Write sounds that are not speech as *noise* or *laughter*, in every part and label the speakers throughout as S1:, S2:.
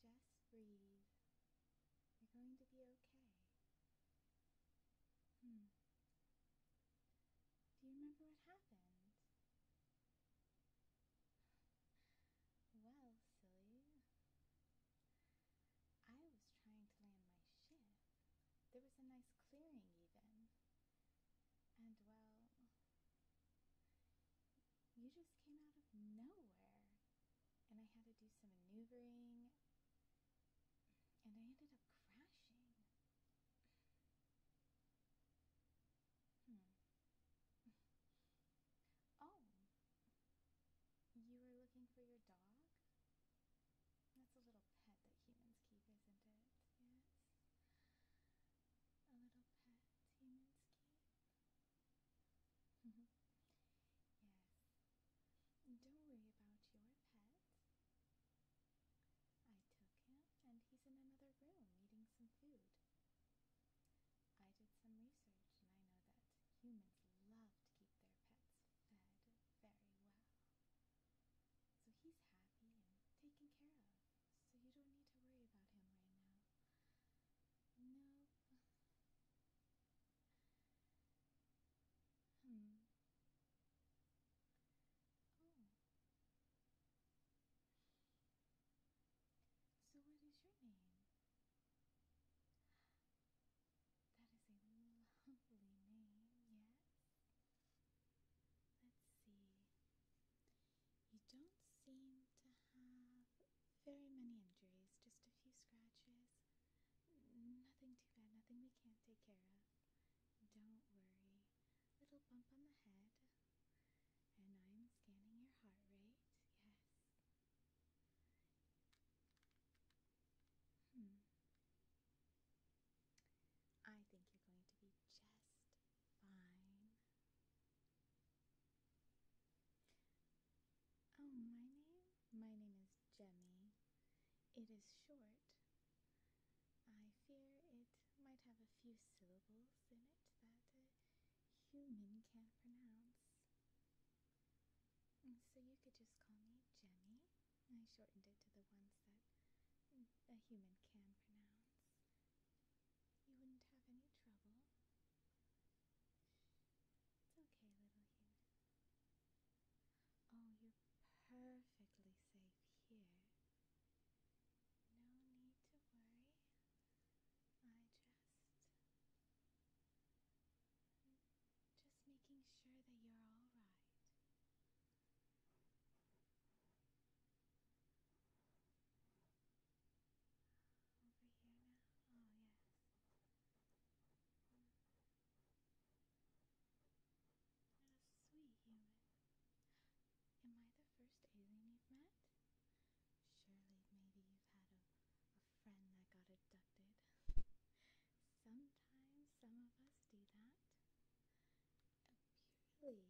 S1: Just breathe. You're going to be okay. Hmm. Do you remember what happened? *sighs* Well, silly. I was trying to land my ship. There was a nice clearing, even. And well, you just came out of nowhere. And I had to do some maneuvering. And I ended up crashing. Hmm. *laughs* Oh. You were looking for your dog? That's a little pet that humans keep, isn't it? Yes. A little pet humans keep. Mm-hmm. yes. Don't worry about your pet. I took him, and he's in another room eating some food. I did some research, and I know that humans love to keep their pets fed very well. So he's happy and taken care of so you don't need to worry about him right now. No. hmm. Oh. So, what is your name? That is a lovely name, yes? Let's see. You don't seem to have very many injuries, just a few scratches. Nothing too bad, nothing we can't take care of. Don't worry. Little bump on the head. And I'm scanning your heart rate. Yes. Hmm. I think you're going to be just fine. Oh, my name? My name is Jemmy. It is short. I fear it might have a few syllables in it that a human can't pronounce. Mm, so you could just call me Jemmy. I shortened it to the ones that a human can pronounce. You wouldn't have any trouble. It's okay, little human. Oh, you're perfectly safe here. No need to worry. I just. just making sure that you're alright. Over oh, Am I the first alien you've met? Surely, maybe you've had a, friend that got abducted. *laughs* Sometimes some of us do that really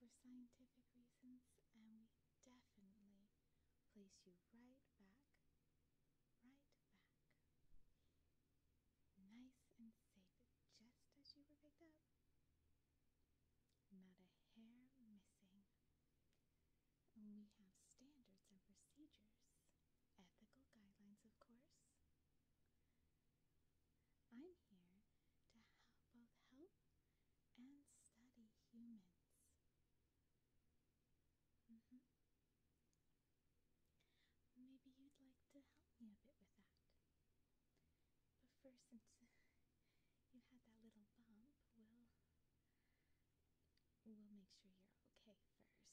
S1: for scientific reasons, and we definitely place you right back, right back, nice and safe, just as you were picked up. Not a hair missing. we have standards and procedures, ethical guidelines, of course. I'm here to both help and study humans. Mm-hmm. Maybe you'd like to help me a bit with that. But first, since *laughs* you had that little bump, we'll we'll make sure you're okay first.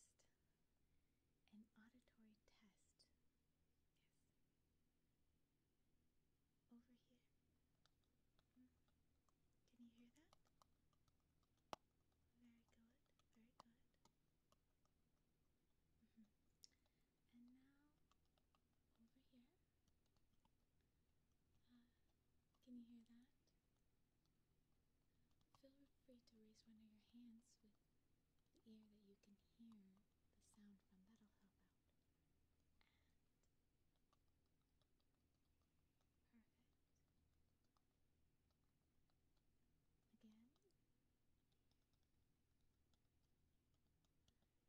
S1: An auditory test over here. Hmm. Can you hear that? Very good, very good. Mm-hmm. And now over here. Uh, can you hear that? Feel free to raise one of your hands with the ear that you can hear the sound from. That'll help out perfect. Again.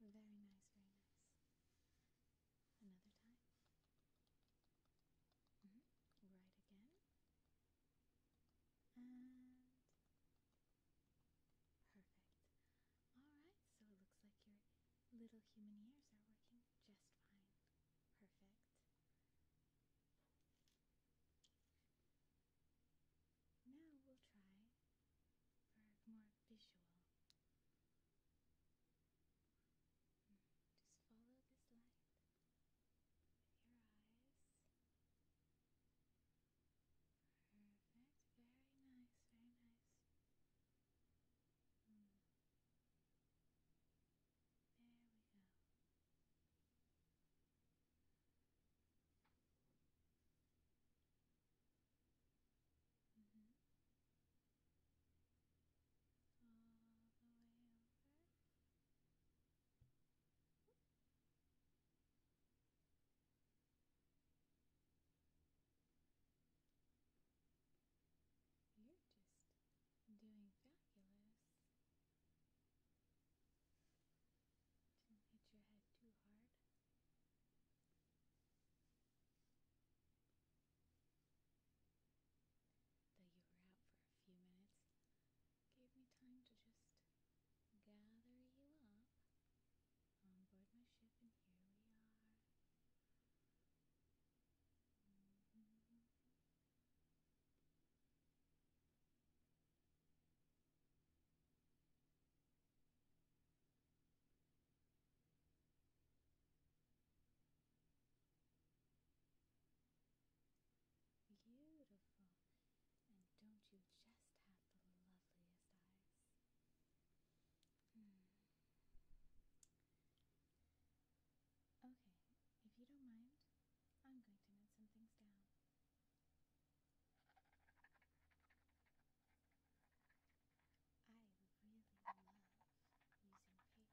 S1: Very nice, very nice. Another time. Mm-hmm. Right again. And Perfect. Alright, so it looks like your little human ears are working just fine. Perfect. Now we'll try for more visual. Hmm, just follow this light with your eyes. Perfect. Very nice. Very nice. Hmm. There we go. Mm-hmm. All the way over. You're just doing fabulous. Don't hit your head too hard. Though you were out for a few minutes, gave me time to just gather you up on um, board my ship, and here we are. Mm-hmm. Beautiful. And don't you just have the loveliest eyes? Hmm. Okay, if you don't mind, I'm going to note some things down. I really love using paper. It has amazing sounds, doesn't it?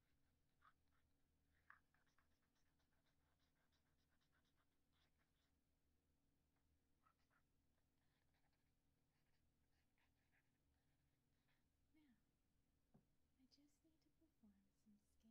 S1: Now, I just need to perform some scans. Don't worry about anything. I'm just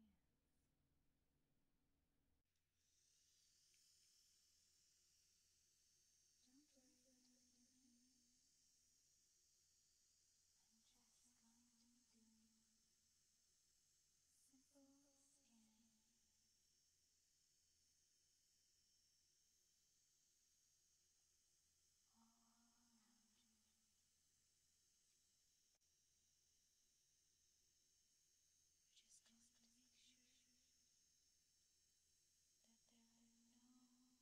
S1: going to do simple scanning. All around you. we just make sure that there are no injuries.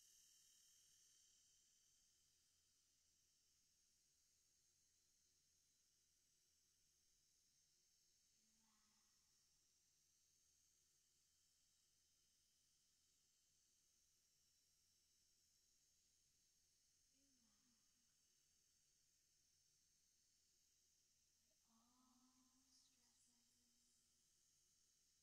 S1: all stresses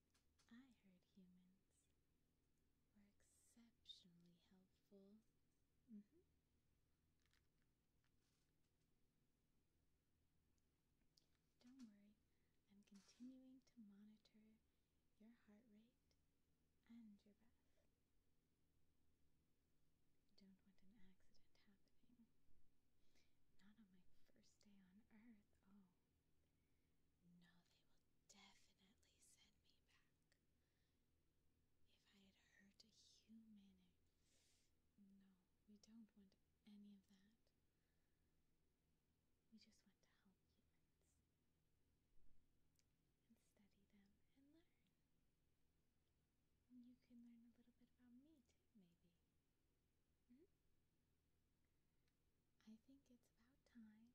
S1: I heard humans were exceptionally helpful. Mm-hmm. Don't worry, I'm continuing to monitor your heart rate and your breath. Don't want an accident happening. Not on my first day on Earth. Oh. No, they will definitely send me back. If I had hurt a human, no, we don't want any of that. We just want to help humans and study them and learn. And you can learn a little bit about me too, maybe. Hmm? I think it's about time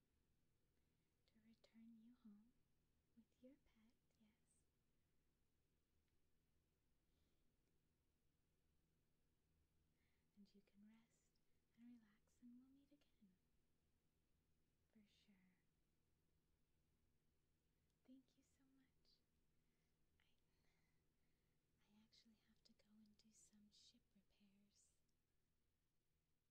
S1: to return you home with your pet, yes. And you can rest and relax, and we'll meet again. For sure. Thank you so much. I, I actually have to go and do some ship repairs.